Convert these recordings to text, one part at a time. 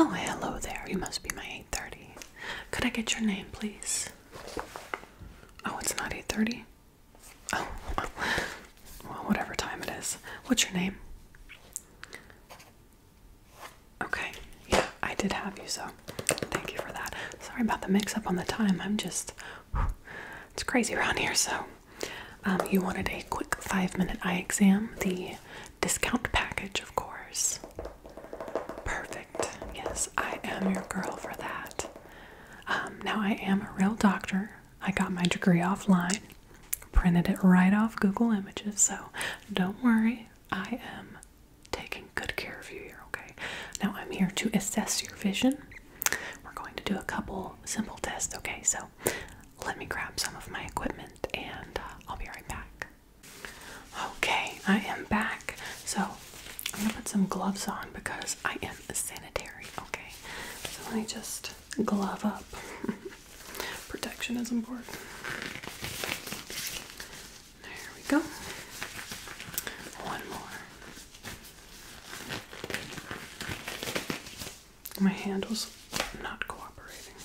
Oh, hello there. You must be my 830. Could I get your name, please? Oh, it's not 830? Oh, well, whatever time it is. What's your name? Okay, yeah, I did have you, so thank you for that. Sorry about the mix up on the time. I'm just, it's crazy around here, so um, you wanted a quick five minute eye exam, the discount package, of course. Perfect. Yes, I am your girl for that. Um, now, I am a real doctor. I got my degree offline, printed it right off Google Images, so don't worry, I am taking good care of you here, okay? Now, I'm here to assess your vision. We're going to do a couple simple tests, okay? So, let me grab some of my equipment and uh, I'll be right back. Okay, I am back. So I'm gonna put some gloves on because I am sanitary. Okay, so let me just glove up. Protection is important. There we go. One more. My hand was not cooperating.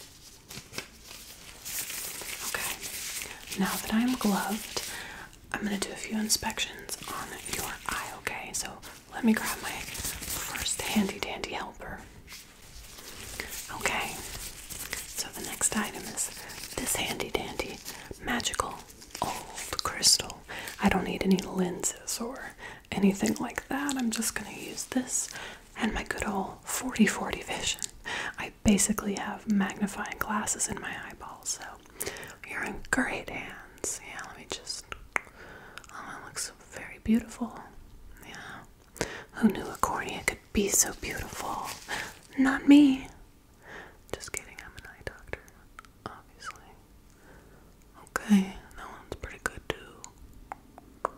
Okay, now that I'm gloved, I'm gonna do a few inspections on your eye, okay? So let me grab my first handy dandy helper. Okay, so the next item is this handy dandy magical old crystal. I don't need any lenses or anything like that. I'm just going to use this and my good old 40 40 vision. I basically have magnifying glasses in my eyeballs, so you're in great hands. Yeah, let me just. Oh, it looks very beautiful. Yeah. Who knew a cornea could be so beautiful? Not me. Just kidding, I'm an eye doctor, obviously. Okay, that one's pretty good too.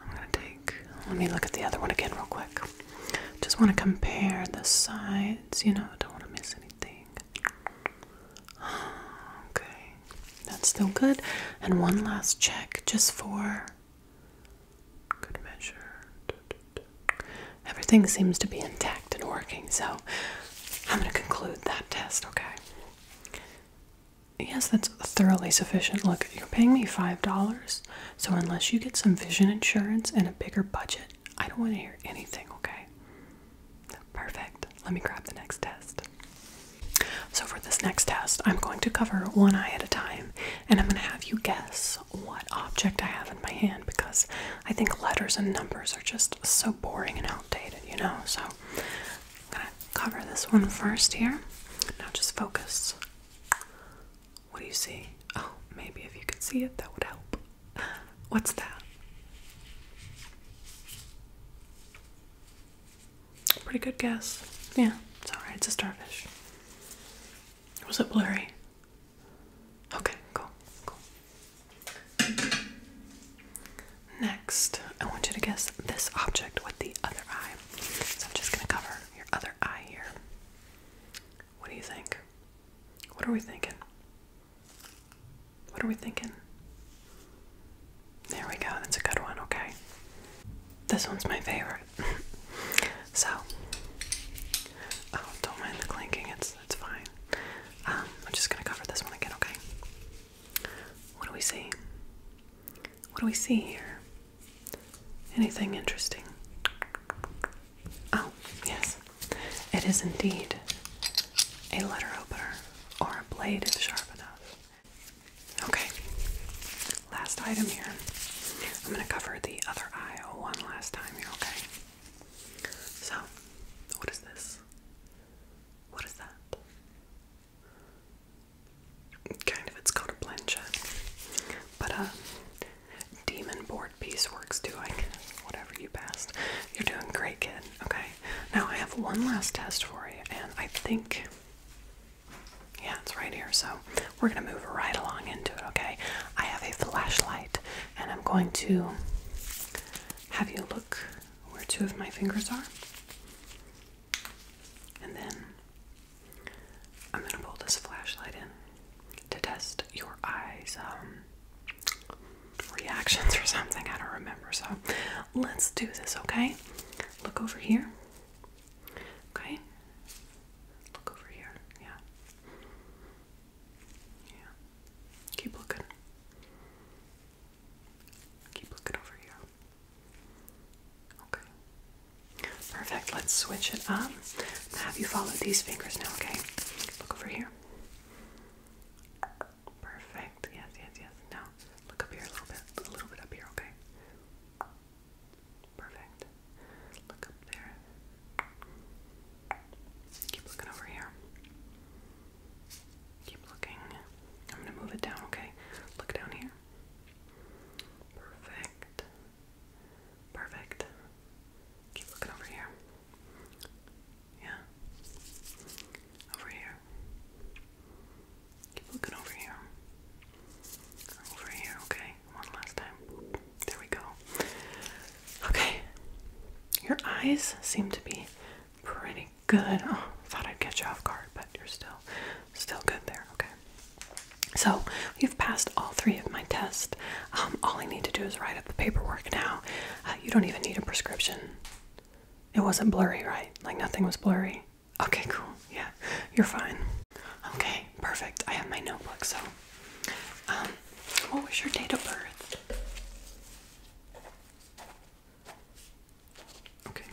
I'm gonna take. Let me look at the other one again, real quick. Just want to compare the sides, you know, don't want to miss anything. Okay, that's still good. And one last check just for good measure. Everything seems to be intact and working, so I'm going to conclude that test, okay? Yes, that's thoroughly sufficient. Look, you're paying me $5, so unless you get some vision insurance and a bigger budget, I don't want to hear anything, okay? Perfect. Let me grab the next test. So, for this next test, I'm going to cover one eye at a time and I'm going to have you guess what object I have in my hand because I think letters and numbers are just so boring and outdated, you know? So, I'm gonna cover this one first here. Now just focus. What do you see? Oh, maybe if you could see it, that would help. What's that? Pretty good guess. Yeah, it's alright, it's a starfish. Was it blurry? Okay, cool, cool. Next, I want you to guess this object with the other eye. So I'm just going to cover your other eye here. What do you think? What are we thinking? What are we thinking? There we go. That's a good one. Okay. This one's my favorite. so, oh, don't mind the clinking. It's it's fine. Um, I'm just gonna cover this one again. Okay. What do we see? What do we see here? Anything interesting? Oh, yes. It is indeed a letter opener or a blade if sharp enough. Okay, last item here. I'm going to cover the other eye one last time You're okay? So, what is this? What is that? Kind of, it's called a planchette. But, uh, demon board piecework's doing whatever you passed. You're doing great, kid. Okay. Now I have one last test for you, and I think. Yeah, it's right here. So we're going to move right along into it, okay? I have a flashlight and I'm going to have you look where two of my fingers are. And then I'm gonna pull this flashlight in to test your eyes um, reactions or something. I don't remember. So let's do this, okay? Look over here. Okay. Look over here. Yeah. Yeah. Keep looking. Keep looking over here. Okay. Perfect. Let's switch it up. have you followed these fingers now, okay? Look over here. Perfect. Yes, yes, yes. Now look up here a little bit. A little bit up here, okay? Perfect. Look up there. Keep looking over here. Keep looking. I'm gonna move it down, okay? Look down here. Perfect. Perfect. Keep looking over here. Yeah. Over here. Keep looking over here. Over here, okay? One last time. There we go. Okay. Your eyes seem to be pretty Good. Oh, thought I'd catch you off guard, but you're still still good there. Okay. So you've passed all three of my tests. Um, all I need to do is write up the paperwork now. Uh, you don't even need a prescription. It wasn't blurry, right? Like nothing was blurry. Okay, cool. Yeah, you're fine. Okay, perfect. I have my notebook. So, um, what was your date of birth? Okay.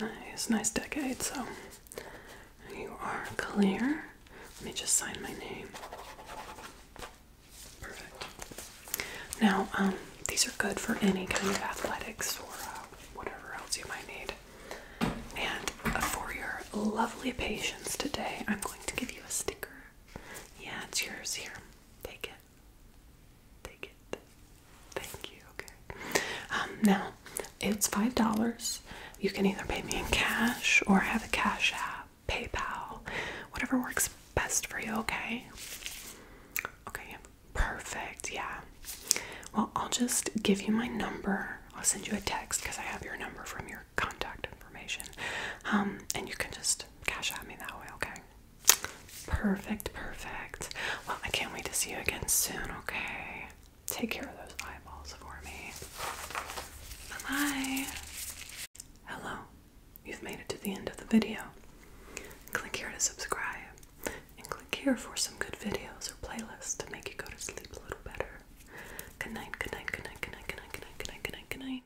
Nice, nice decade. So you are clear. Let me just sign my name. Perfect. Now, um, these are good for any kind of athletics or uh, whatever else you might need. And uh, for your lovely patience today, I'm going to give you a sticker. Yeah, it's yours here. Take it. Take it. Thank you. Okay. Um, now, it's five dollars. You can either pay me in cash or have a cash app, PayPal, whatever works best for you. Okay. Okay. Perfect. Yeah. Well, I'll just give you my number. I'll send you a text because I have your number from your contact information. Um, and you can just just cash at me that way, okay? Perfect, perfect. Well, I can't wait to see you again soon, okay? Take care of those eyeballs for me. Bye bye. Hello, you've made it to the end of the video. Click here to subscribe, and click here for some good videos or playlists to make you go to sleep a little better. good night, good night, good night, good night, good night, good night, good night, good night.